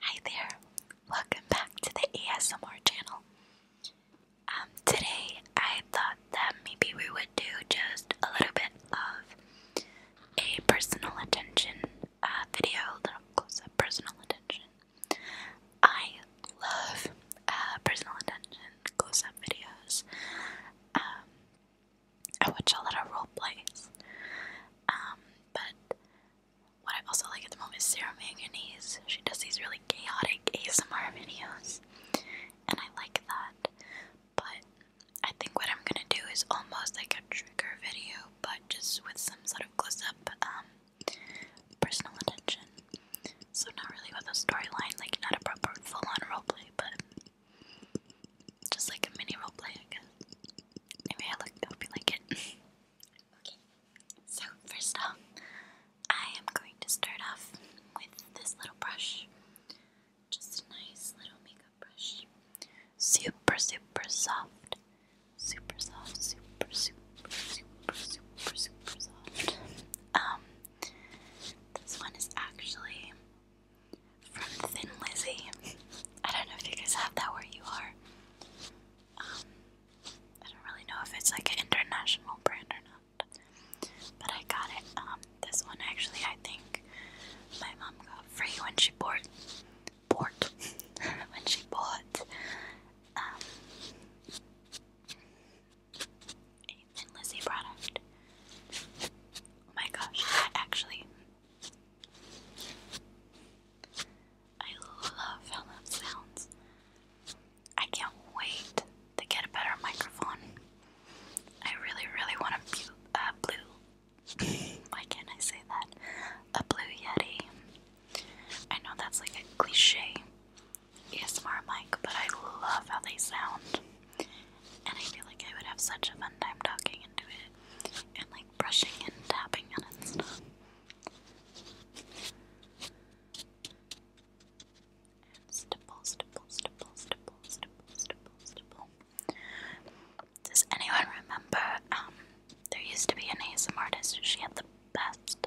Hi there, welcome back to the ASMR channel. Um, today I thought that maybe we would do just a little bit of a personal attention uh, video, a little close up personal attention. I love uh, personal attention, close up videos. Um, I watch a lot of role plays. Um, but what I also like at the moment is Sarah Manganese. She does these really chaotic ASMR videos, and I like that. But I think what I'm gonna do is almost like a trigger video, but just with some sort of close up um, personal attention so not really with a storyline, like not a proper full-on roleplay, but just like a mini roleplay, I guess. Anyway, I, hope you like it. okay, so first off, I am going to start off with this little brush. Just a nice little makeup brush. Super, super soft. Super soft, super, super, super, super, super soft. Um, this one is actually from Thin Lizzy. I don't know if you guys have that where you are. Um, I don't really know if it's like an international brand or not. But I got it. Um, this one actually I think my mom got free when she bought bought when she bought um, a Thin product. Oh my gosh, I actually. I love how that sounds. I can't wait to get a better microphone. I really, really want a blue. blue. Why can't I say that? A blue Yeti. I know that's like a cliche, ASMR mic, but I love how they sound. And I feel like I would have such a fun time talking into it and like brushing and tapping and stuff. And stipple, stipple, stipple, stipple, stipple, stipple, Does anyone remember? Um, there used to be an ASMR artist. She had the best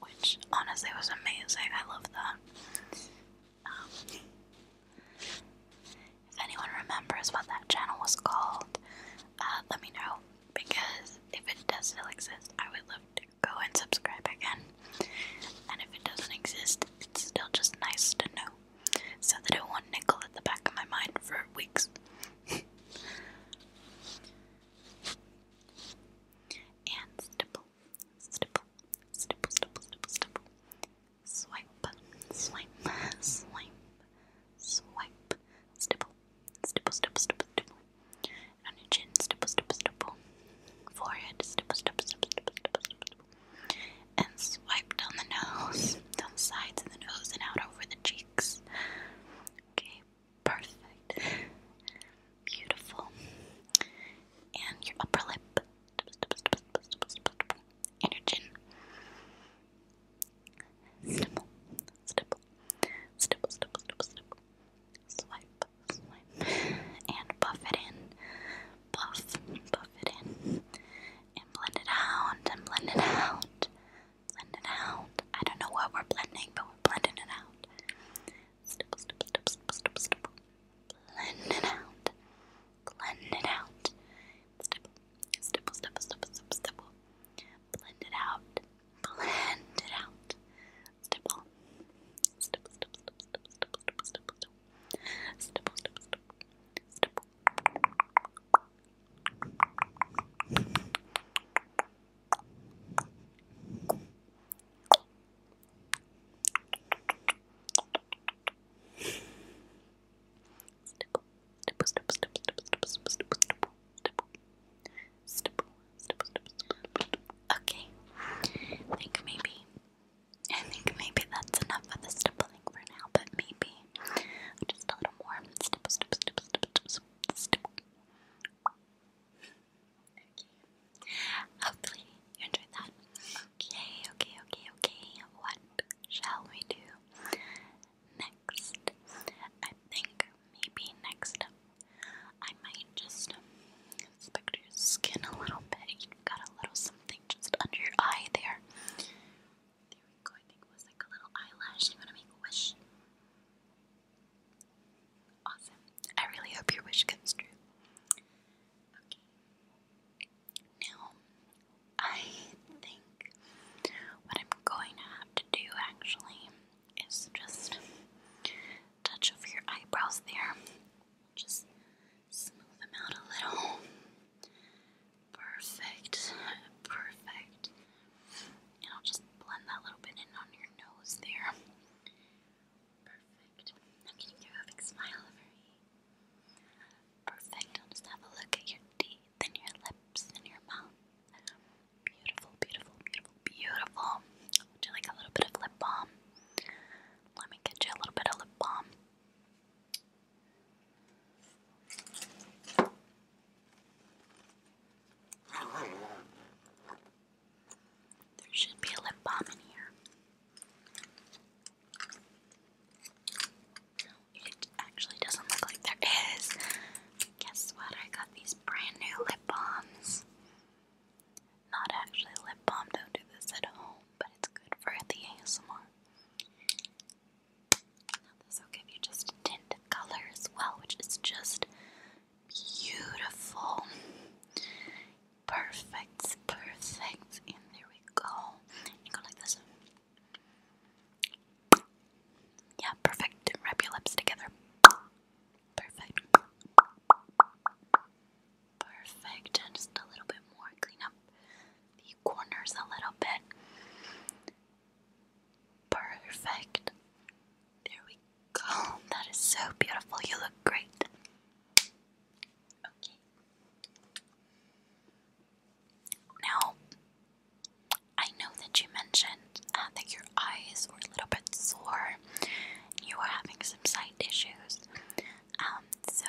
which honestly was amazing. I love that. Um, if anyone remembers what that channel was called, uh, let me know because if it does still exist, I would love to go and subscribe again. And if it doesn't exist, it's still just nice to know so that it will nickel at the back of my mind for weeks. and stipple, stipple, stipple, stipple, stipple, stipple. Swipe, swipe, swipe, swipe, stipple, stipple, stipple, stipple, On your chin, stipple, stipple, stipple. Forehead, stipple, stipple, stipple, stipple, stipple. And swipe down the nose, down the sides of the nose, and out over the cheeks. Okay, Perfect. Beautiful. And your upper lip. And your chin. Stipple. Stipple. Stipple, stipple, stipple, stipple. Swipe, swipe. And buff it in. Buff, buff it in. And blend it out, and blend it out. Blend it out. I don't know what we're blending, but we're blending it out. Stipple, stipple, stipple, stipple, stipple, Blend it out. Blend it out. Stipple, stipple, stipple, stipple, stipple, Blend it out. Blend it out. stipple, stipple, stipple, stipple. Stipple, stipple, stipple, stipple. Okay. I think maybe I think maybe that's enough of the stippling for now, but maybe just a little more Okay. you enjoyed that. Okay, okay, okay, okay. What shall we do next? I think maybe next I might just inspect your skin a little bit. you got a little something just under your eye there. There we go. I think it was like a little eyelash. I'm to make a wish. Awesome. I really hope your wish comes true. Now, I think what I'm going to have to do actually is just touch over your eyebrows there. Just smooth them out a little. Perfect. Perfect. And I'll just blend that little bit in on your nose there. Perfect. Now can you give a big smile over me? Perfect. I'll just have a look at your teeth and your lips and your mouth. Beautiful, beautiful, beautiful, beautiful. Would you like a little bit of lip balm? Let me get you a little bit of lip balm. There should be a lip balm in here. it actually doesn't look like there is. Guess what? I got these brand new lip balms. Not actually lip balm, don't do this at home, but it's good for the ASMR. Now, this will give you just a color as well, which is just Beautiful. Perfect. Perfect. And there we go. You go like this. Yeah, perfect. Wrap your lips together. Perfect. Perfect. And just a little bit more. Clean up the corners a little bit. Perfect. There we go. That is so beautiful. You look great. Okay. Now, I know that you mentioned uh, that your eyes were a little bit sore. you were having some sight issues. Um, so,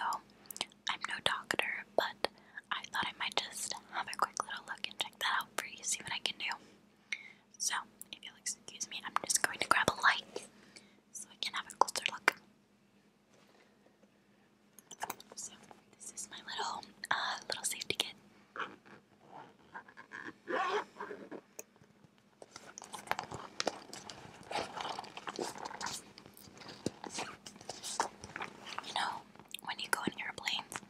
I'm no doctor, but I thought I might just have a quick little look and check that out for you, see what I can do. So, if you'll excuse me, I'm just going to grab a light so I can have a closer look. So, this is my little, uh, little safety kit. You know, when you go in airplanes,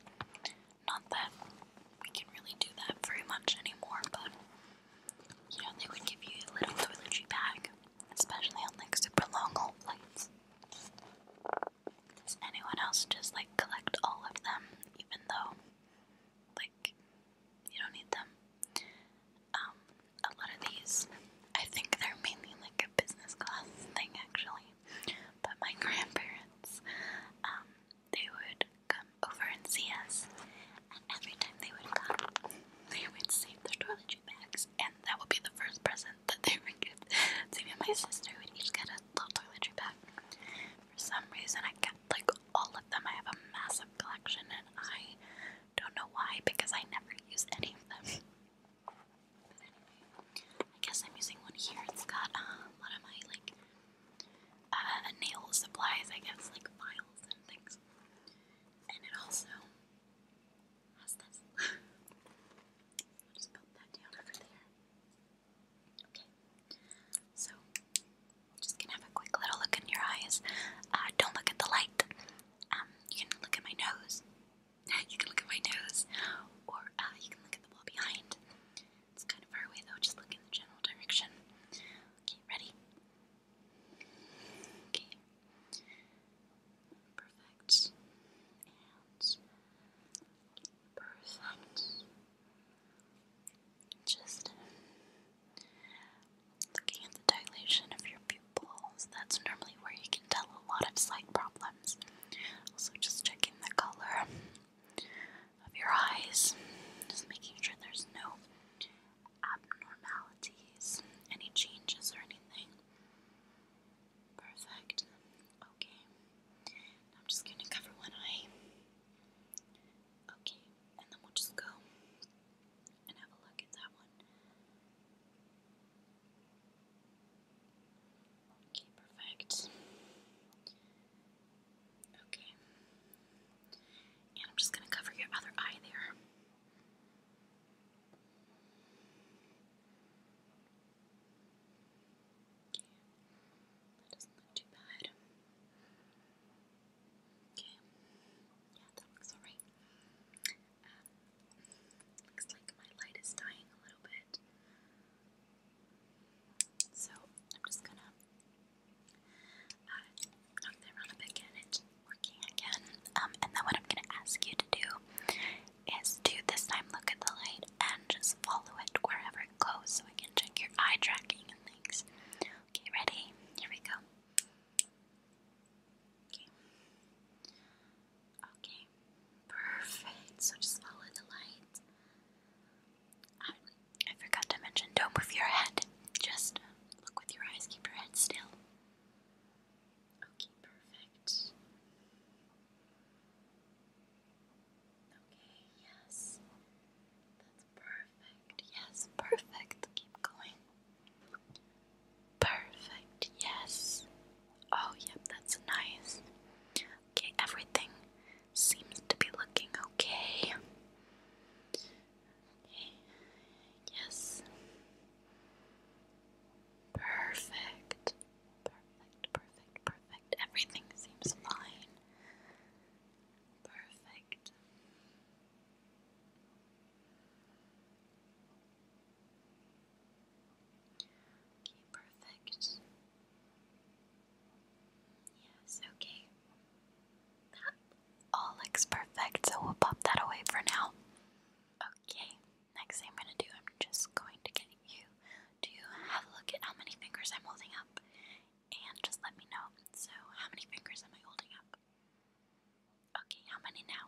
not that we can really do that very much anymore, but you know, they would give you a little toiletry bag, especially on like super long old flights. Does anyone else just like collect all of them, even though like you don't need them? Um, a lot of these, I think they're mainly like a business class thing actually. But my grandparents, um, they would come over and see us, and every time they would come, they would save their toiletry bags, and that would be the first present that they would give. So me and my sister would each get a little toiletry bag. For some reason, I kept like all of them. I have a massive collection, and I don't know why because I never use any of them. I guess I'm using one here. It's got uh, a lot of my like uh, nail supplies, I guess, like files and things. And it also has this. just put that down over there. Okay. So, just gonna have a quick little look in your eyes. Uh, don't look at the light. Um, you can look at my nose you can look at my nose, or uh, you can look at the wall behind. It's kind of far away though, just look in the general direction. Okay, ready? Okay. Perfect. And perfect. Just uh, looking at the dilation of your pupils. That's normally where you can tell a lot of sight problems. Also, just checking the color of your eyes, just making sure there's no abnormalities, any changes, or anything. Perfect. Okay. I'm just going to cover one eye. Okay, and then we'll just go and have a look at that one. Okay, perfect. Okay. And I'm just going to cover your other eye there. That doesn't look too bad. Okay. Yeah, that looks alright. Looks like my light is dying a little bit. So I'm just gonna uh, knock that around a bit, get working again. Um, and then what I'm gonna ask you to do is to this time look at the light and just follow it wherever it goes so I can check your eye tracking and things. Okay, ready? Here we go. Okay, perfect. So just follow the light. I, I forgot to mention don't move your head. Just look with your eyes, keep your head still. Okay, perfect. Okay, yes. That's perfect. Yes, perfect. Keep going. Perfect, yes. Oh, yep, that's nice. Okay, everything seems to be looking okay. Okay, yes. Perfect. Perfect, perfect, perfect. Everything seems fine. Perfect. Okay, perfect. Yes, okay. all looks perfect, so we'll pop that away for now. Okay, next thing I'm gonna do, I'm just going to get you to have a look at how many fingers I'm holding up and just let me know. So, how many fingers am I holding up? Okay, how many now?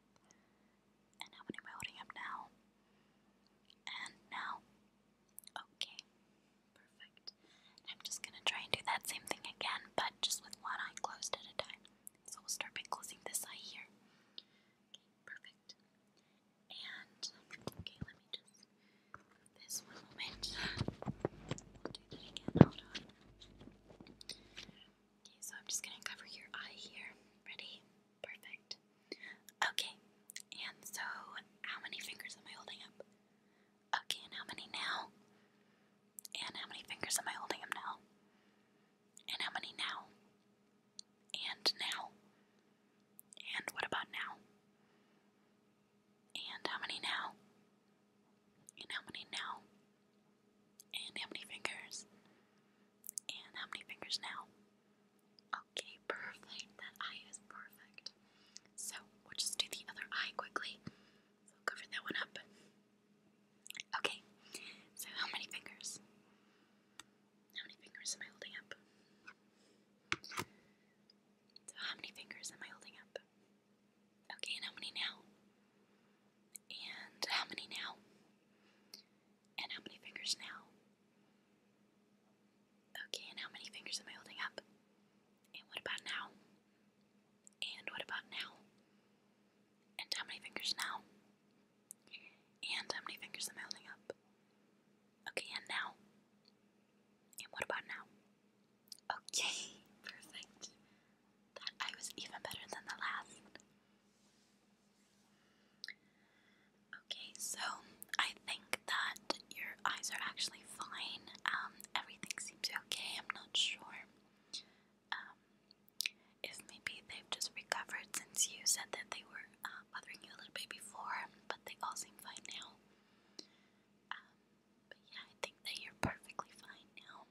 And I now? And now. Okay. Perfect. I'm just gonna try and do that same thing again, but just with one eye closed at a time. So we'll start by closing this eye here. Okay, perfect. And okay, let me just this one moment. We'll do that again. Hold on. Okay, so I'm just gonna cover your eye here. Ready? Perfect. Okay, and so how many fingers am I holding up? Okay, and how many now? And how many fingers am I holding up now? And how many now? And now? And what about now? And how many now? And how many now? And how many fingers? And how many fingers now? Okay, perfect. That eye is perfect. So we'll just do the other eye quickly. So cover that one up. Okay, so how many fingers? How many fingers am I holding up? So how many fingers am I holding up? Okay, and how many now? And how many now? And how many fingers now? Okay, and how many fingers am I holding up? And what about now? And what about now? And how many fingers now? And how many fingers am I holding up? Okay, and now? And what about now? Okay, perfect. That I was even better than the last. Okay, so I think that your eyes are actually fine. Um, everything seems okay. I'm not sure um, if maybe they've just recovered since you said that they were uh, bothering you a little bit before, but they all seem fine now. Um, but yeah, I think that you're perfectly fine now.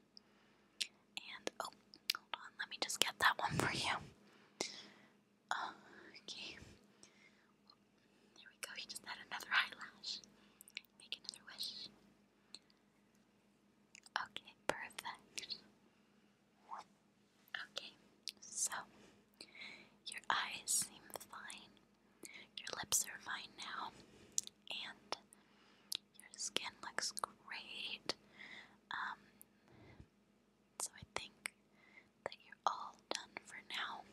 And oh, hold on, let me just get that one for you. okay. There we go. He just had another eyelash. Make another wish. Okay, perfect. Okay, so your eyes seem fine. Your lips are fine now, and your skin looks great. Um, so I think that you're all done for now.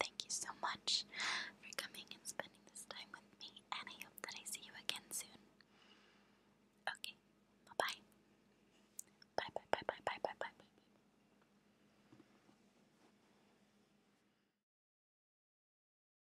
Thank you so much for coming and spending this time with me, and I hope that I see you again soon. Okay, bye bye. Bye bye bye bye bye bye bye bye.